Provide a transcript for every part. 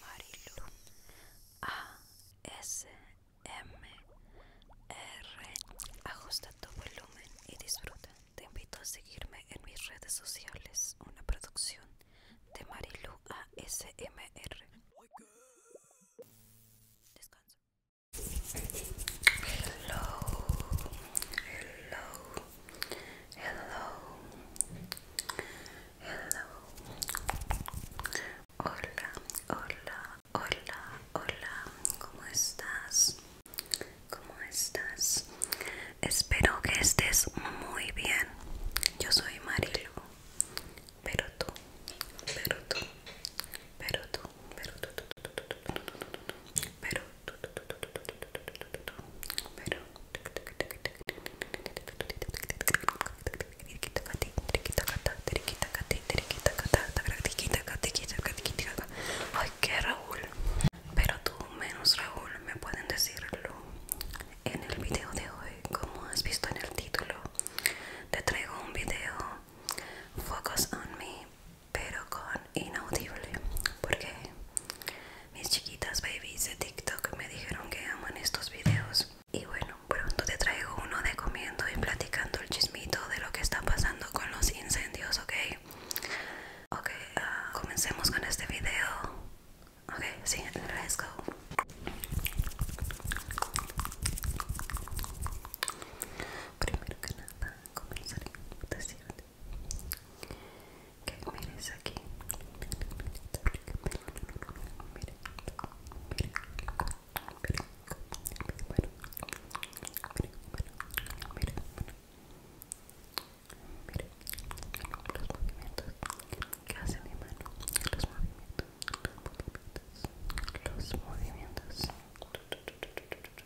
Marilu ASMR. Ajusta tu volumen y disfruta. Te invito a seguirme en mis redes sociales. Una producción de Marilu ASMR. Descanso. Hello, hello, hello, hello, hola, hola, hola, hola, ¿cómo estás? ¿Cómo estás? Espero que estés muy bien. Yo soy Marilo, pero tú, pero tú, pero tú, pero tú, tú, tú, tú, pero pero Ay, que Raúl. Pero tú menos Raúl me pueden decirlo en el video de hoy. Como has visto en el título, te traigo un video Focus on Me pero con inaudible porque mis chiquitas babies de TikTok me dijeron que aman estos videos y bueno pronto te traigo uno de comiendo y platicando el chismito de lo que está pasando con los incendios ok ok ah, comencemos con este video ok sí let's go Primero que nada, comenzaré que mires aquí Miren los movimientos que hace mi mano, los movimientos, los movimientos,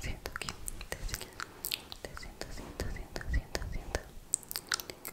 siento aquí, te siento, siento, siento, siento, siento, siento,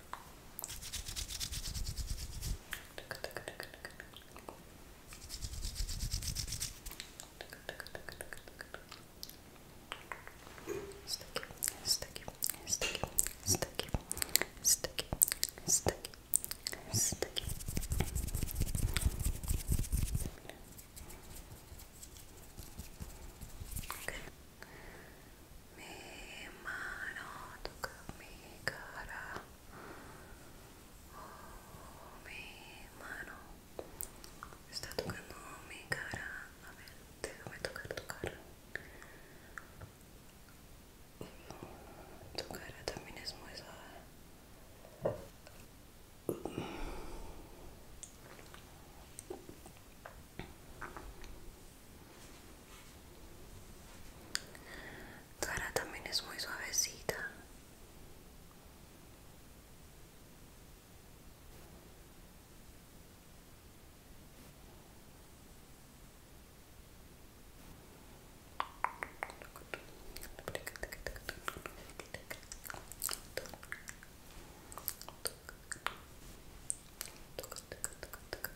Sticky, sticky, sticky, sticky, sticky, sticky, sticky. Okay mi mano toca mi cara mi mano está tocando mi cara a ver, déjame tocar tu cara tu cara también es muy suave Tu también es muy suavecita.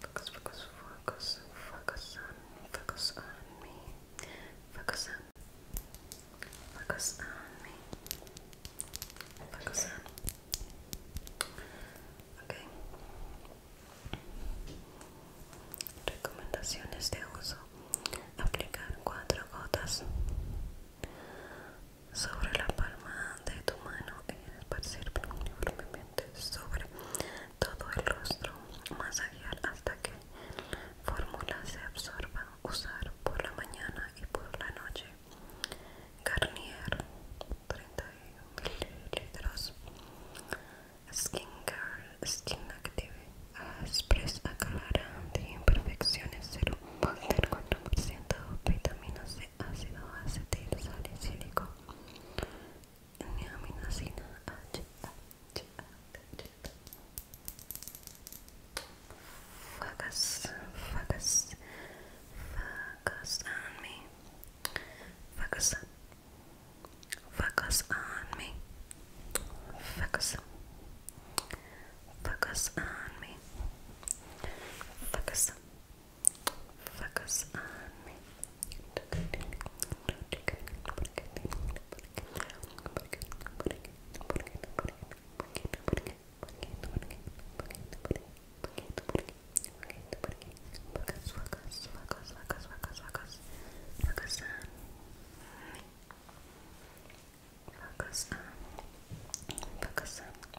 Focus, focus, focus, focus on, focus on me. Focus on, focus on me. Focus Recomendaciones de uso. Aplicar cuatro gotas sobre la palma de tu mano y esparcir uniformemente sobre todo el rostro, masajear hasta que la fórmula se absorba, usar por la mañana y por la noche. Garnier 30 mililitros. Skincare Skin Active Express acalara de imperfecciones 0.4% vitamina C Focus, focus, focus on me. Focus, focus on me. Focus, focus on me. focus, Focus on me. Focus, on Focus on. Focus on.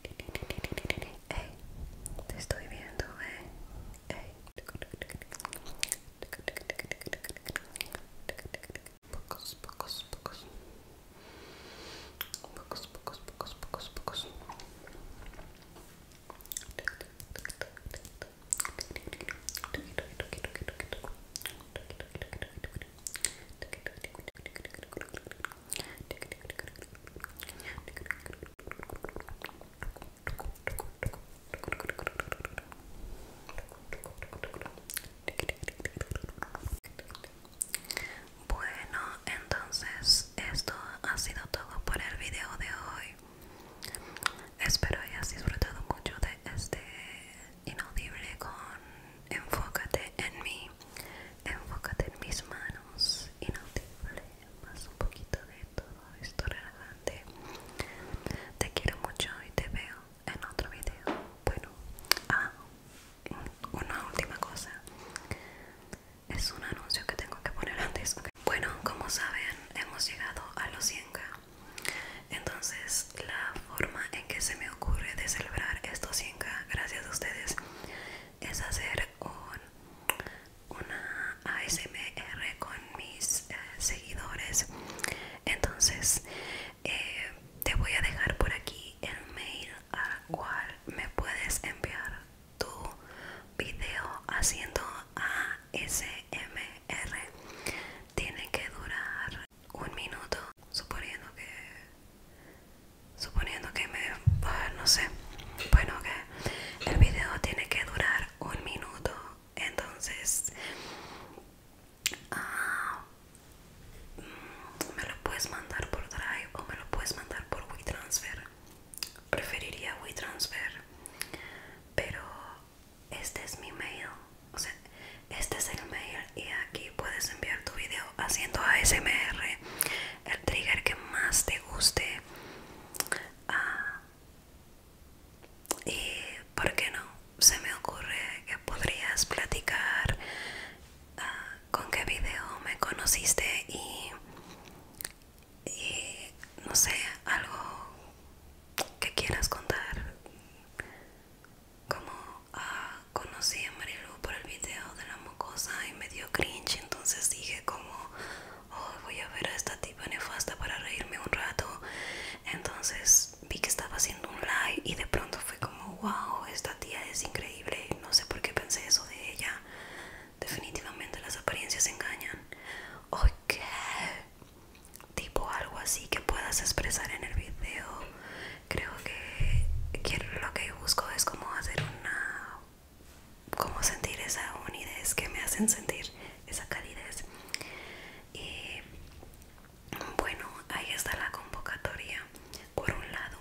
Hey, te estoy viendo, eh. Hey. Pocos, pocos, pocos. Pocos, pocos, pocos, pocos, Bueno, entonces esto ha sido todo por el video de hoy. Espero hayas disfrutado mucho de este inaudible con enfócate en mí, enfócate en mis manos, inaudible más un poquito de todo esto relajante te quiero mucho y te veo en otro video bueno ah una última cosa es un anuncio que tengo que poner antes bueno como saben hemos llegado a los 100k entonces la forma en que se me ocurre de celebrar estos 100k gracias a ustedes es hacer un una ASMR con mis eh, seguidores entonces eh, te voy a dejar por aquí el mail al cual me puedes enviar tu video haciendo ASMR tiene que durar un minuto suponiendo que suponiendo que me no sé bueno que el video tiene que durar un minuto entonces ah, me lo puedes mandar por drive o me lo puedes mandar por WeTransfer preferiría WeTransfer pero este es mi mail o sea este es el mail y aquí puedes enviar tu video haciendo ASMR el trigger que más te guste ah, y por qué no se me ocurre que podrías platicar ah, con qué video me conociste y, no sé algo que quieras contar como ah, conocí a María por el video de la mucosa y me dio cringe, entonces dije como, hoy oh, voy a ver a esta tipa nefasta para reírme un rato. Entonces vi que estaba haciendo un live y de pronto fue como, wow, esta tía es increíble, no sé por qué pensé eso de ella. Definitivamente las apariencias engañan. Ok, tipo algo así que puedas expresar en el video. Creo que, que lo que busco es como hacer una cómo sentir esa unidez que me hacen sentir esa calidez y bueno ahí está la convocatoria por un lado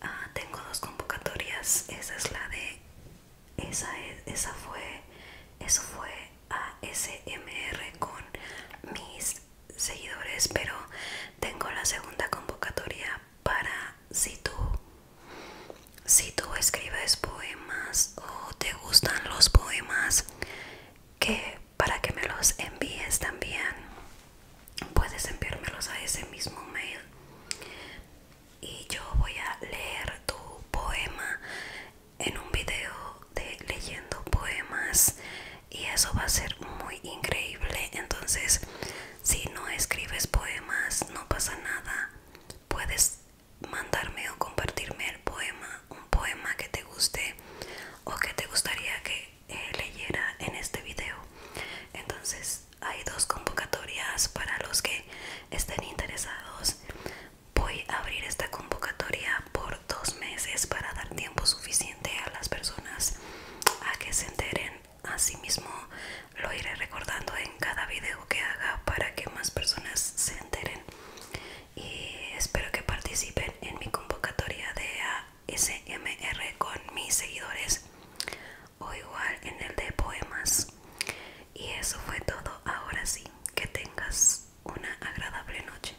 ah, tengo dos convocatorias esa es la de esa esa fue eso fue a con mis seguidores pero tengo la segunda convocatoria para si tú si tú escribes poemas o te gustan los poemas que para que me los envíes también puedes enviármelos a ese mismo mail y yo voy a leer tu poema en un video de leyendo poemas y eso va a ser muy increíble entonces si no escribes poemas, no pasa nada. Puedes mandarme o compartirme el poema, un poema que te guste o que te gustaría que eh, leyera en este video. Entonces hay dos convocatorias para los que estén interesados. Voy a abrir esta convocatoria por dos meses para dar tiempo suficiente a las personas a que se enteren Asimismo, lo iré recordando en cada video que haga para que más personas se enteren. Y espero que participen en mi convocatoria de ASMR con mis seguidores o igual en el de poemas. Y eso fue todo. Ahora sí, que tengas una agradable noche.